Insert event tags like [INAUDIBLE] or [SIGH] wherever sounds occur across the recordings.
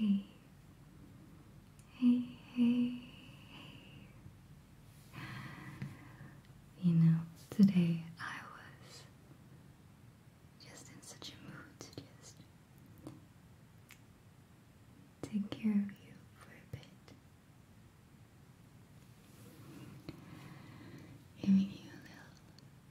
Hey, hey, hey, hey. You know, today I was just in such a mood to just take care of you for a bit. Giving you a little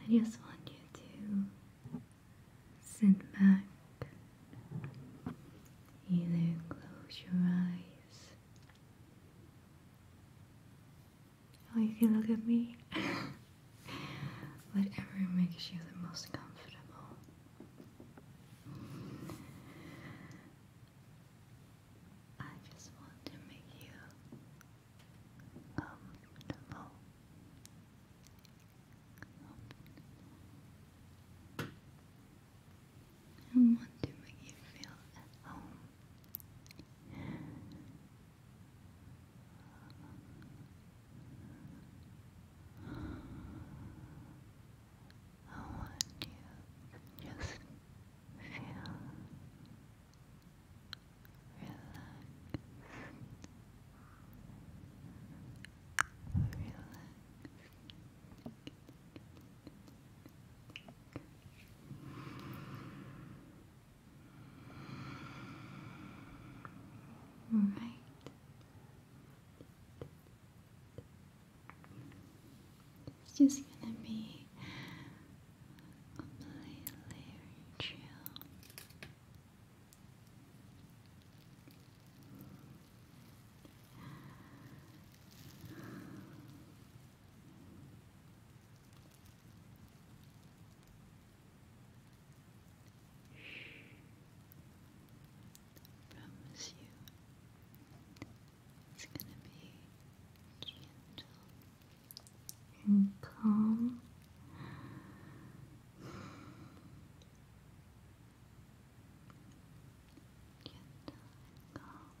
I just want you to sit back, either close your eyes Oh, you can look at me. [LAUGHS] Whatever makes you the most comfortable. I just want to make you um, comfortable. I want to make you feel at home. I want you to just feel relaxed, relaxed. All right. It's just gonna be completely chill. I promise you it's going to be gentle and calm. Gentle and calm.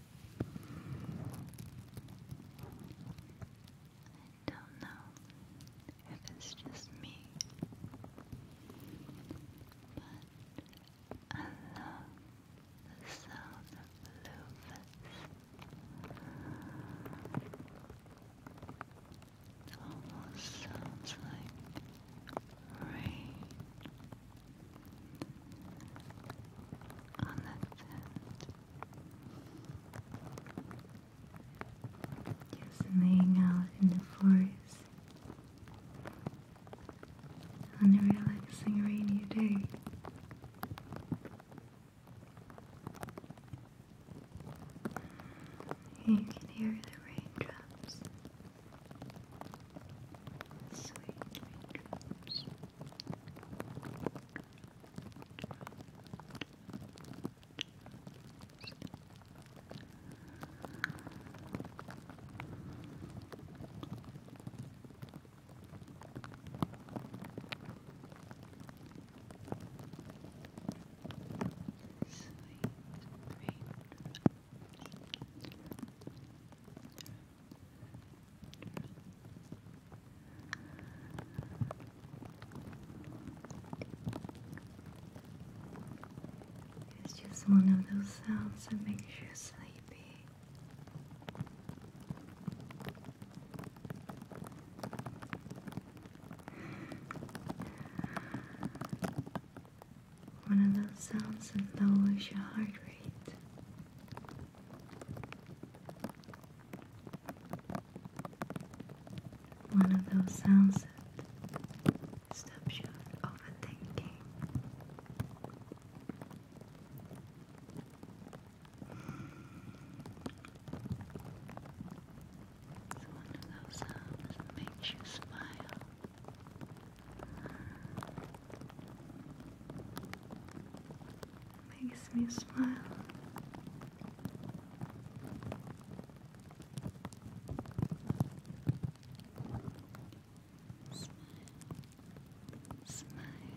I don't know if it's just me, but I love the sound of loofahs. It almost sounds like rain on this end. Just laying out in the forest on a relaxing rainy day. You can hear the raindrops, sweet raindrops. Sweet dreams. Relax. It's just one of those sounds that makes you sleepy. One of those sounds that lowers your heart rate. One of those sounds that stops you overthinking. one of those sounds that makes you smile. Makes me smile. Smile. Smile. Smile. Smile.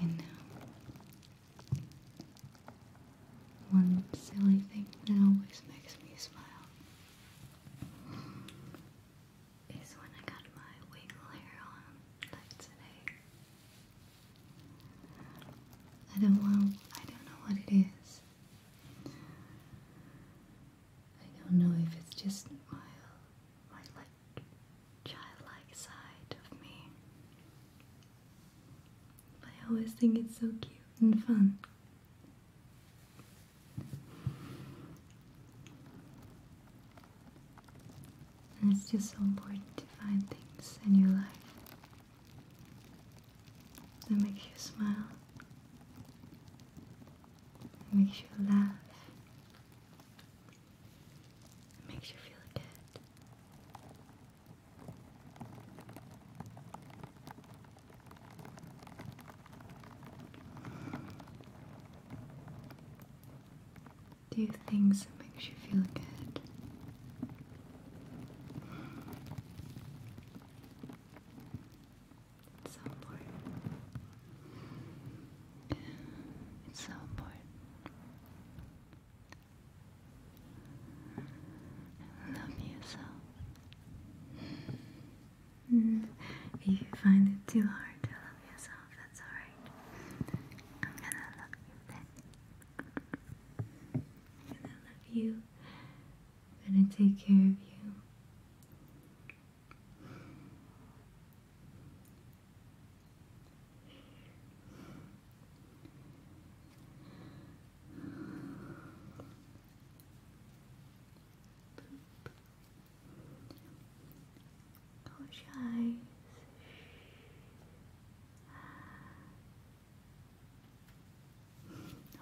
You know, one silly thing that always makes me smile is when I got my wiggle hair on like today. I don't want I don't know what it is. I don't know if it's just my my like childlike side of me. But I always think it's so cute and fun. And it's just so important to find things in your life that makes you smile, that makes you laugh, that makes you feel good. Do things that makes you feel good. It's so important. It's so important. Love yourself. Mm. if you find it too hard to love yourself, that's alright. I'm gonna love you I'm gonna love you. I'm gonna take care of you. Close your eyes.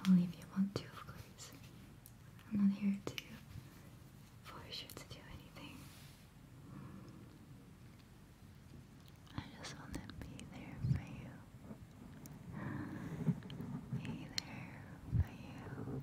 Only if you want to, of course. I'm not here to force you to do anything. I just want to be there for you. Be there for you.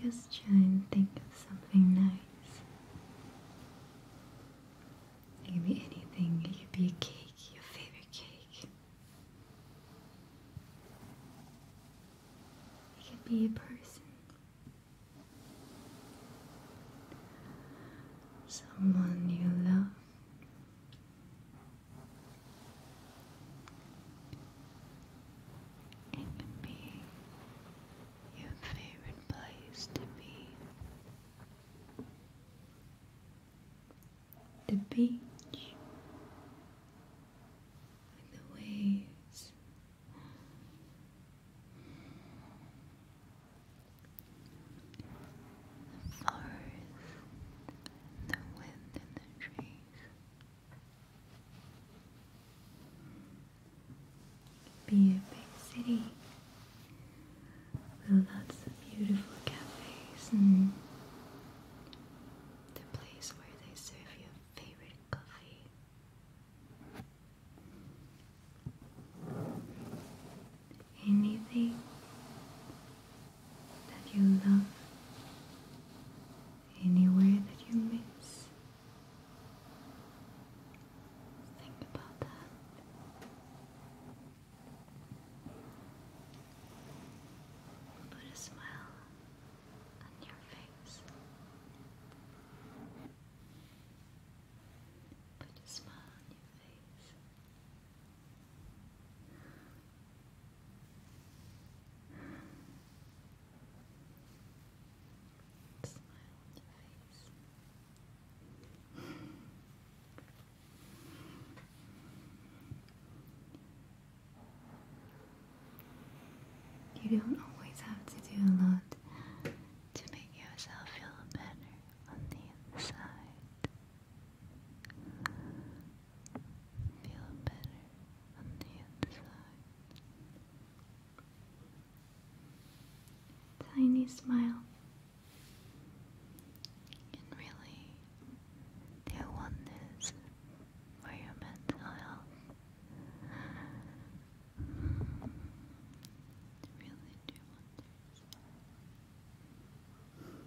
Just try and think of something nice. It could be anything, it could be a cake, your favorite cake. It could be a person. Someone you love. It can be your favorite place to be. The beach the waves. The forest the wind in the trees. Be a big city with lots of beautiful cafes and the place where they serve your favorite coffee anything that you love, anywhere that you miss. Think about that. Put a smile on your face. Put a smile on your face. You don't always have to do a lot to make yourself feel better on the inside. Feel better on the inside. Tiny smile can really do wonders for your mental health. Really do wonders.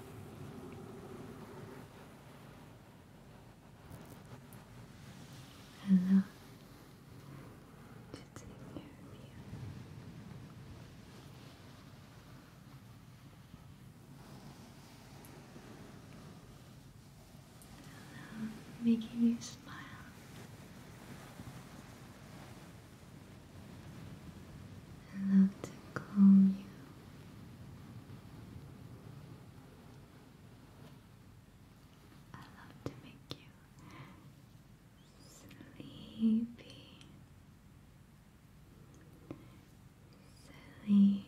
Hello. To take care you. making you smile. I love to calm you. I love to make you sleepy. Sleepy. Sleepy.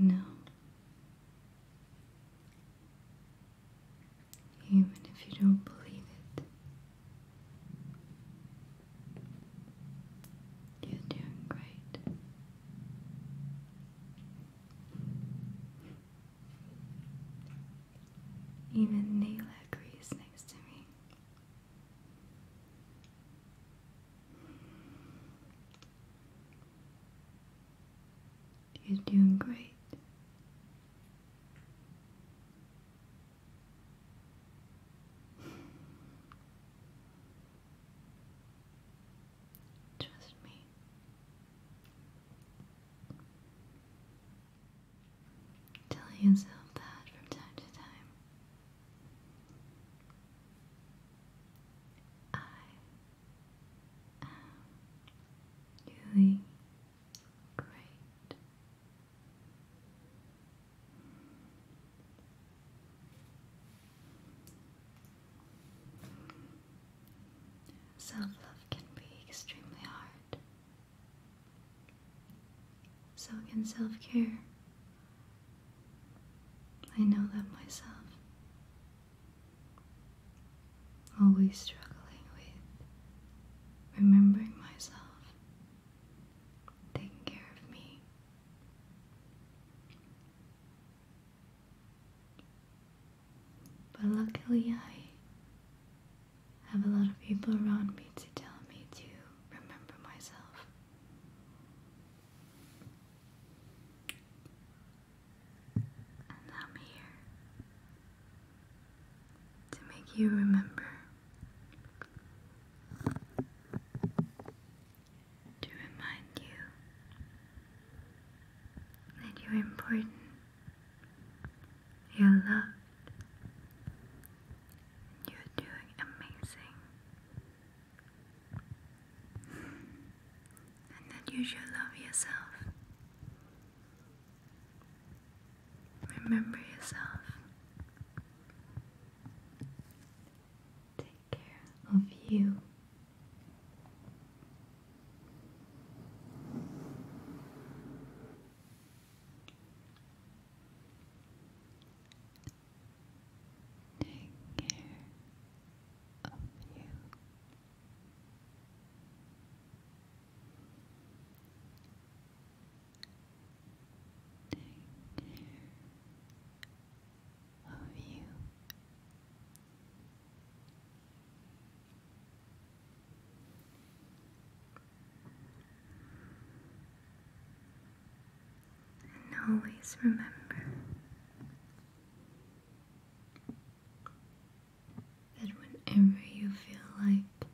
You even if you don't believe it, you're doing great. Even Nayla agrees next to me. You're doing great. Trust me. Telling yourself that from time to time. I am doing great. Self love can be extremely hard. So can self care. I know that myself. Always struggling with remembering myself, taking care of me. But luckily, I I have a lot of people around me to tell me to remember myself. And I'm here to make you remember. To remind you that you're important you're loved. You're doing amazing. And then you should love yourself. Remember yourself. Take care of you. Take care of you. Take care of you. And always remember that whenever you feel like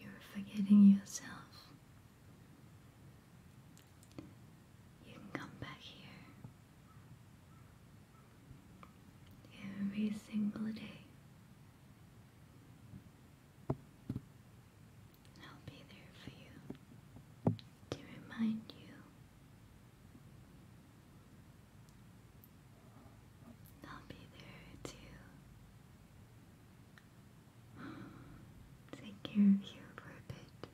you're forgetting yourself, you can come back here every single day. I'll be there for you to remind you I'll be there to take care of you for a bit.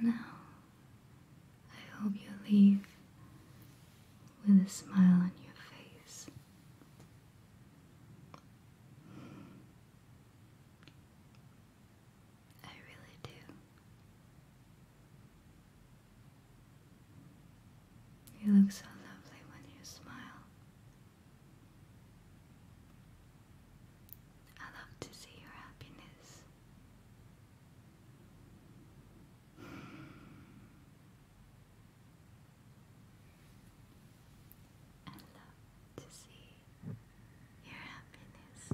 Now, I hope you leave with a smile on your face. I really do. You look so lovely when you smile. I love to see your happiness. I love to see your happiness.